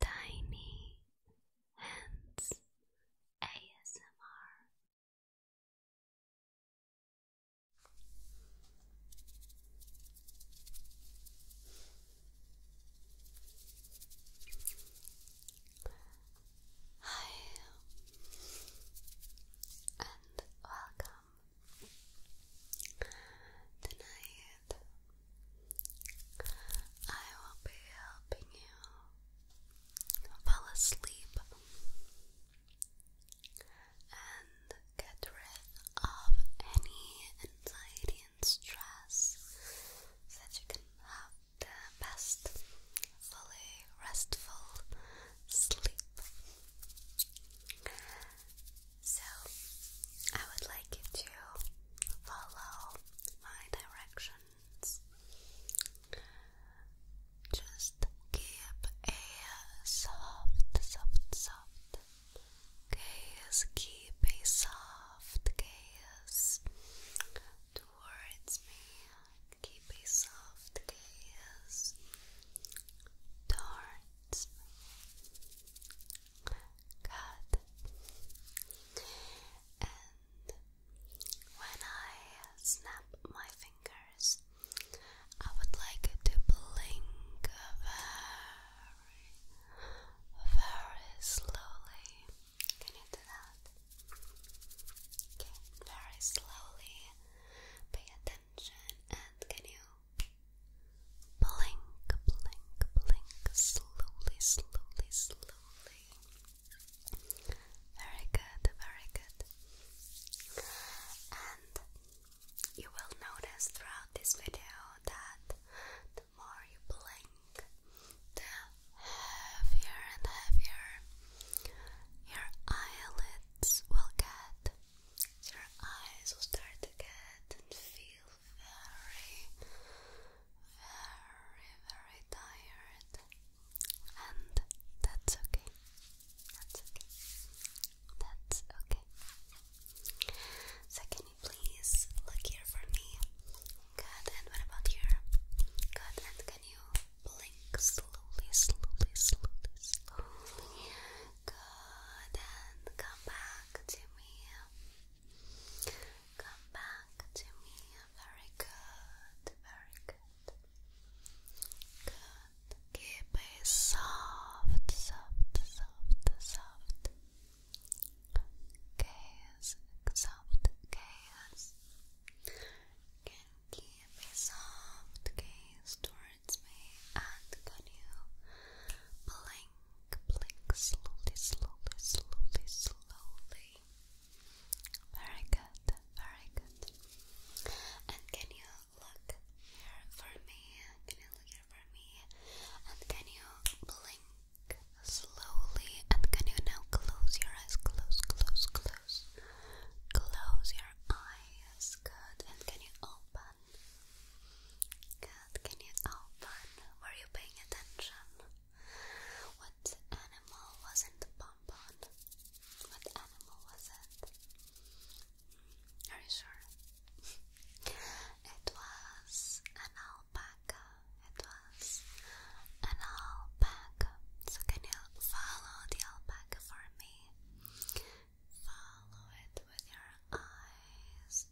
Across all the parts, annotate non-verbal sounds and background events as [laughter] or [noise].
Tiny Hands ASMR. Hi, and welcome. Tonight I will be helping you fall asleep and get rid of any anxiety and stress so you can have the best, fully restful sleep. So, I would like you to follow my directions. Just keep a soft, soft, soft gaze, keep a soft gaze towards me, keep a soft gaze towards me. Good. And when I snap my fingers, I would like to blink very, very slowly. Can you do that? Okay, very slowly. Pay attention and can you Blink, blink, blink, slowly, slowly, slowly. Very good, very good. And you will notice throughout this video that the more you blink, the heavier and heavier your eyelids will get. Your eyes will start to get and feel very very, very tired, and that's okay. That's okay. That's okay. So, can you please look here for me? Good, and what about here? Good, and can you blink slowly, slowly, slowly, slowly? Good, and come back to me. Come back to me. Very good. Very good. Good. Keep it soft, soft, soft, soft. Case, soft case. Can keep a soft case towards me, and can you blink? blink, slowly, slowly, slowly, slowly. Very good, very good. And can you look here for me? Can you look here for me? And can you blink slowly? And can you now close your eyes? Close, close, close. Close your eyes. Good. And can you open? Can you open? Were you paying attention? What animal was in the bonbon? What animal was it? Are you sure? [laughs] it was an alpaca. It was an alpaca. So can you follow the alpaca for me? Follow it with your eyes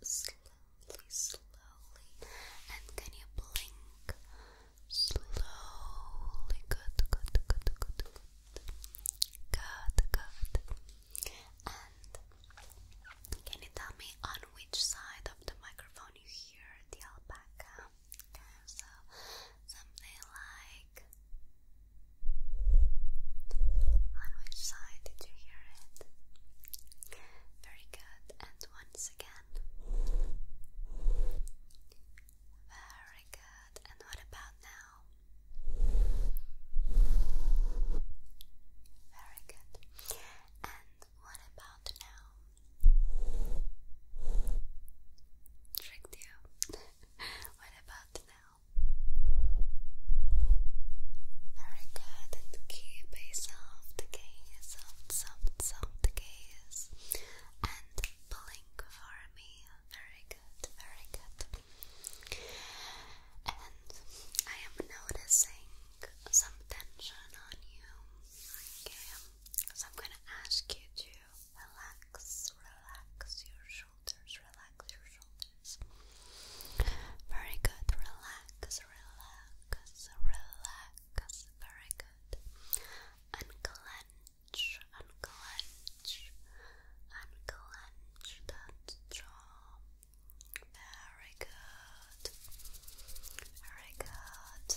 slowly, And can you blink? Slowly. Good, good, good, good, good. Good, good. And can you tell me on which side of the microphone you hear the alpaca? Okay, so something like. On which side did you hear it? Very good. And once again. Very good. And what about now? Very good. And what about now? Tricked you. [laughs] what about now? Very good. And keep very soft gaze, soft, soft, soft and blink for me. Very good, very good. And I am noticing some tension on you. so I'm gonna ask you to relax, relax your shoulders, relax your shoulders is. Very good, relax, relax, relax, very good. Unclench, unclench, unclench that jaw. Very good, very good.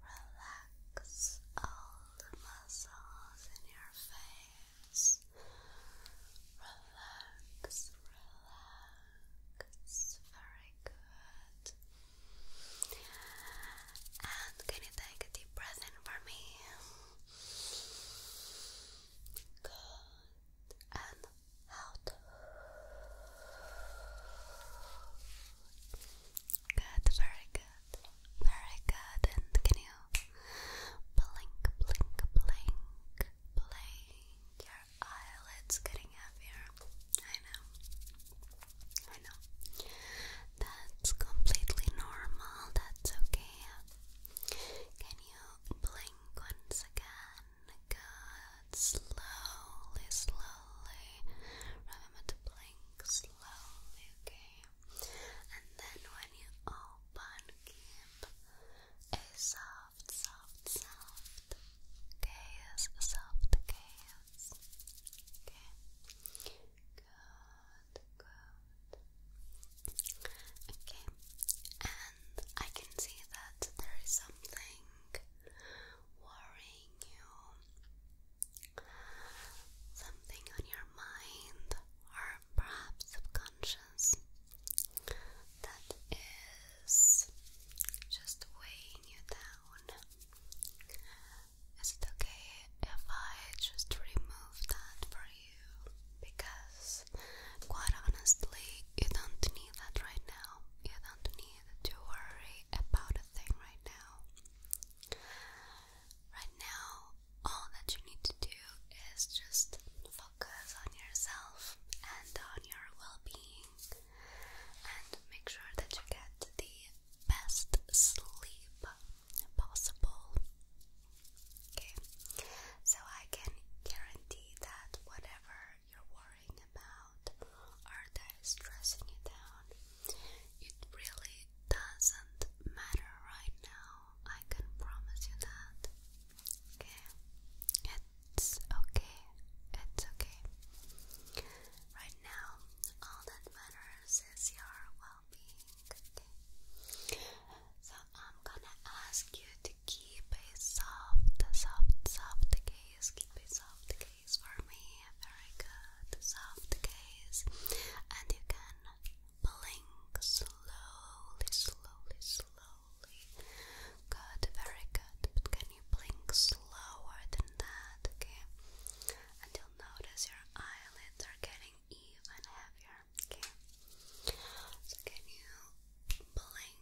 Relax all the muscles in your face. Relax, relax, focus. Very good. And can you take a deep breath in for me? Good. And out. Good, very good. Very good. And can you blink, blink, blink? playing, your eyelids getting heavier. I know. I know. That's completely normal. That's okay. Can you blink once again? Good. Slowly, slowly. Remember to blink slowly, okay? And then when you open, keep a soft soft, soft, soft gaze, soft gaze. Okay, good, good. Okay, and I can see that there is something worrying you, something on your mind, or perhaps subconscious that is just weighing you down. Is it okay if I just remove that for you? Because, quite honestly, you don't need that right now. You don't need to worry about a thing right now. Right now, all that you need to do is just focus on yourself and on your well being, and make sure that you get the best sleep possible. Okay, so I can guarantee that whatever you're worrying about or that is stressing you down, it really doesn't matter right now. I can promise you that it's okay, it's okay. Right now, all that matters is your well being, okay? So, I'm gonna ask you to keep a soft, soft, soft gaze, keep a soft gaze for me. Very good, soft gaze, and you can blink slowly, slowly, slowly slowly. Good, very good. But can you blink slower than that, okay? And you'll notice your eyelids are getting even heavier, okay? So can you blink?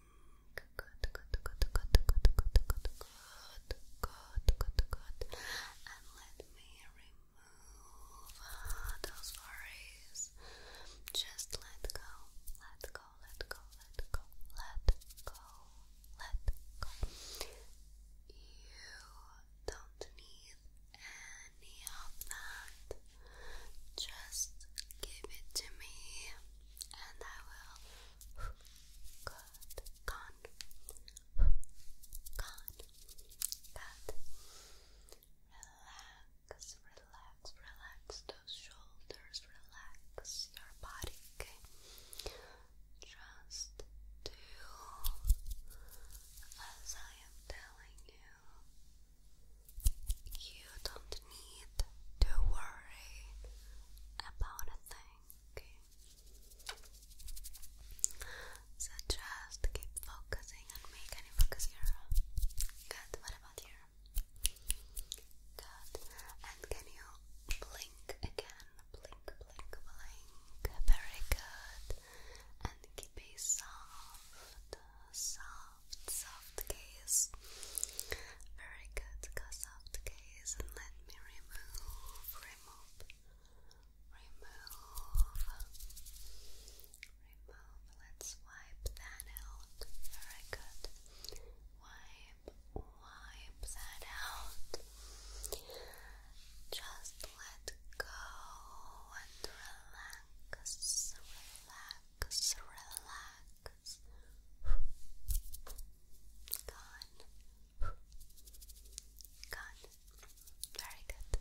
Good, good, good, good, good, good, good, good, good, good, good. And let me remove those worries is just let go, let go, let go, let go, let go, let go. You don't need any of that. Just give it to me, and I will. Good, gone, gone, good. Relax, relax, relax those shoulders, relax your body, okay? Just do as I am telling you. You don't need to worry about a thing, So just keep focusing and make any focus here. Good, what about you? Good. And can you blink again? Blink, blink, blink. Very good. And keep a soft, soft, soft gaze. Very good. Go soft gaze and let me remove, remove, remove remove. Let's wipe that out. Very good. Wipe, wipe that out. Just let go and relax, relax, relax. Gone. Gone. Very good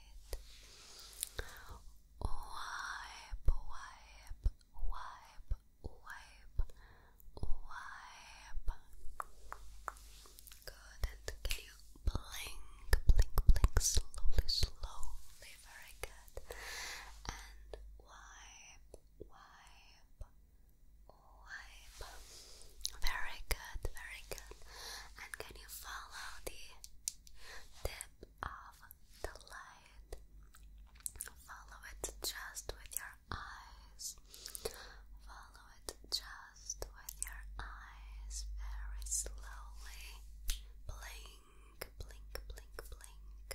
Wipe, wipe, wipe, wipe, wipe. Good. can you blink, blink, blink slowly, slowly? Very good. And wipe, wipe, wipe. Very good, very good. And can you follow the Tip off the light. Follow it just with your eyes. Follow it just with your eyes very slowly. Blink, blink, blink, blink.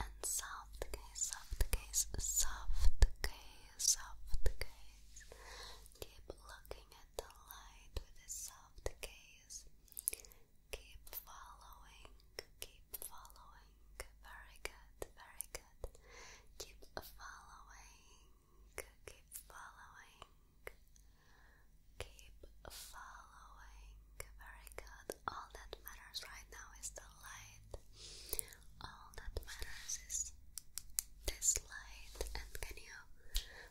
And soft gaze, soft gaze, soft gaze, soft gaze. Keep looking gentle light with a soft gaze. Keep following, keep following. Very good, very good. Keep following, keep following. Keep following. Very good. All that matters right now is the light. All that matters is this light. And can you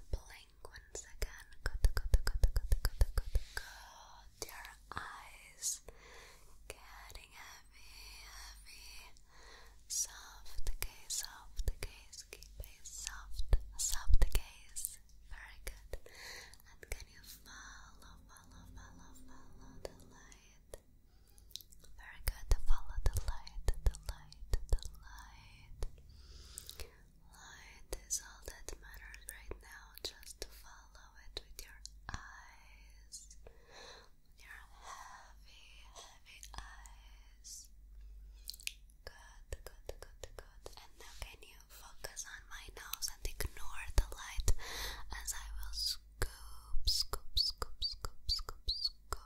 blink? once again. Good, good, good, good, good, good, good, good. Your eyes getting heavy, heavy. Soft gaze, soft gaze. Keep a soft, soft gaze. Very good. And can you follow, follow, follow, follow the light? Very good. Follow the light, the light, the light light. is all that matters right now. Just follow it with your eyes. Your heavy, heavy eyes. Good, good, good, good. And now can you focus on my nose and ignore the light as I will scoop, scoop, scoop, scoop, scoop, scoop,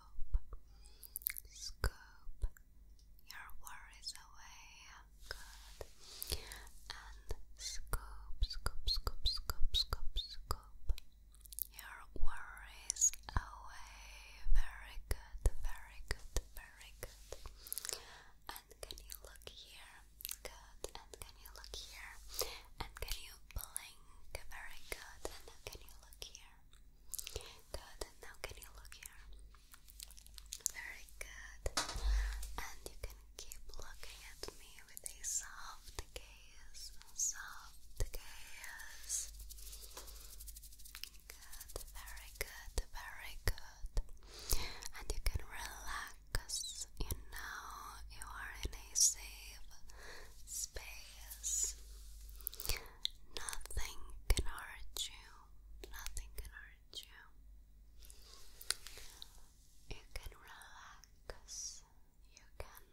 scoop, your worries away. Oh good. And scoop, scoop, scoop, scoop, scoop, scoop your worries away. Very good, very good, very good. And can you look here? Good. And can you look here? And can you blink? Very good. And can you look here? Good, and now can you look here? Very good. And you can keep looking at me with a soft gaze. Soft gaze. Good, very good, very good. And you can relax. You know you are in a safe space. Nothing can hurt you. Nothing can hurt you. You can relax. You can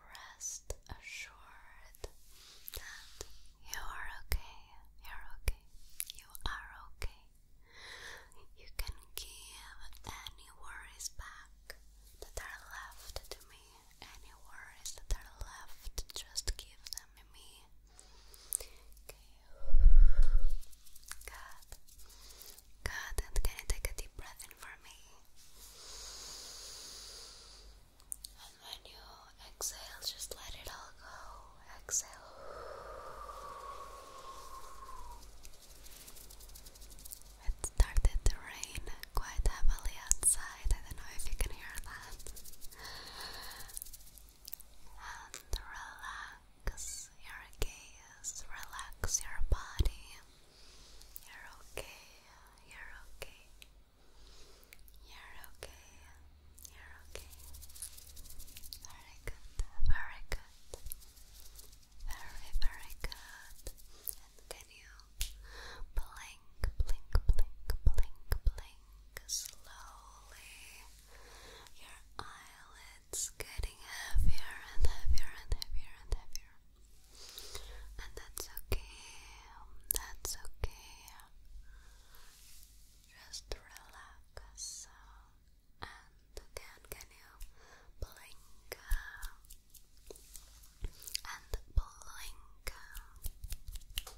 rest assured that you are okay. You're okay. You are okay. You can give any worries back that are left to me any worries that are left, just give them to me. Okay. Good. Good. can you take a deep breath in for me? And when you exhale, just let it all go. Exhale. It started to rain quite heavily outside. I don't know if you can hear that. And relax your gaze, relax your body. You're okay, you're okay. You're okay, you're okay. Very good, very good. Very, very good. And can blink, blink, blink, blink, blink slowly. Your eyelids getting heavier and heavier and heavier and heavier. And that's okay. That's okay. Just relax. And again, can you blink? and blink. Good,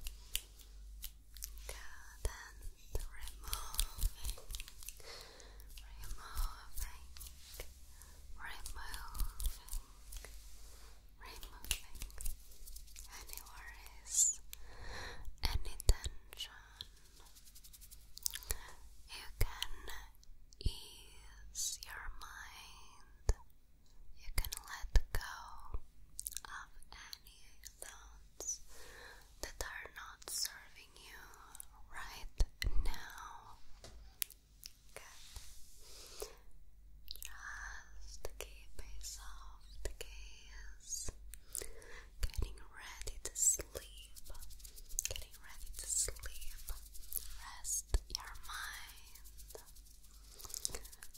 and removing, removing, removing, removing any worries, any tension. You can ease your mind you can let go of any thoughts that are not serving you right now. Just keep a soft gaze. Getting ready to sleep. Getting ready to sleep. Rest your mind.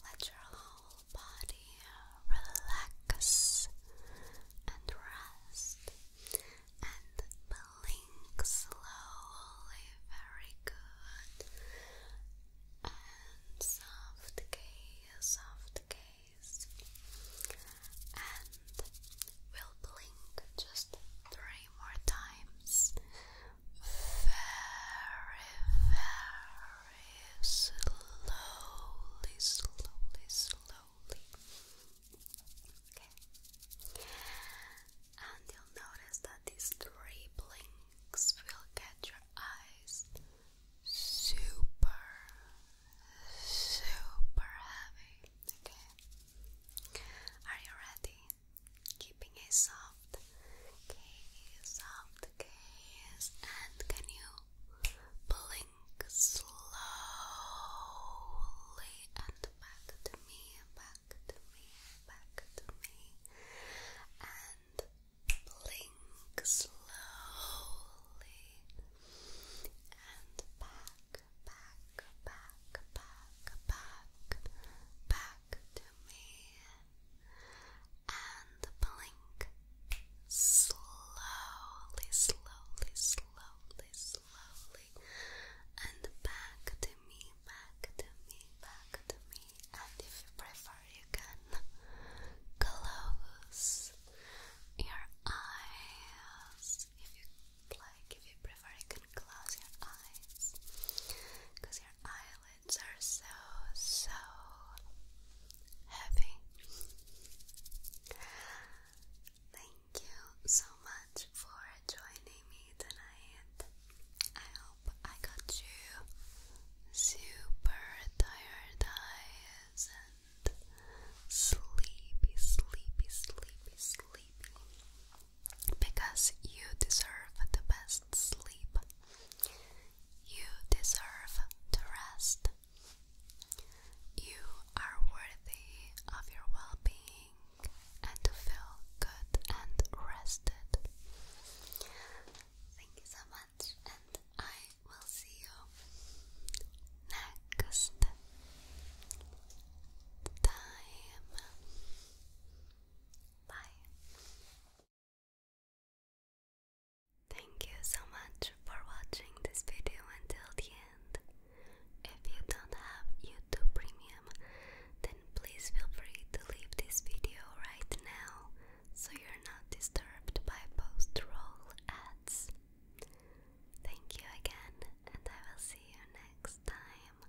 Let your whole body relax and rest and blink slowly. Very good. And soft gaze, And we'll blink just three more times very, very slowly, slowly, slowly. Okay. And you'll notice that these three blinks will get your eyes super, super heavy. Okay. Are you ready? keeping it soft gaze, soft gaze, and can you blink slowly and back to me, back to me, back to me, and blink slowly and back, back, back, back, back, back to and blink slowly, slowly, slowly, slowly, and back to me, back to me, back to me. And if you prefer, you can close your eyes. If you like, if you prefer, you can close your eyes because your eyelids. It's are so, so heavy. Thank you so much for joining me tonight. I hope I got you super tired eyes and sleepy, sleepy, sleepy, sleepy because you deserve the best sleep. You deserve to rest. You are worthy of your well being and to feel good and rested. Thank you so much, and I will see you next time. Bye. Thank you so much for watching this video until the end. If you don't have YouTube Premium, then please feel free to leave this video right now so you're not disturbed by post roll ads. Thank you again, and I will see you next time.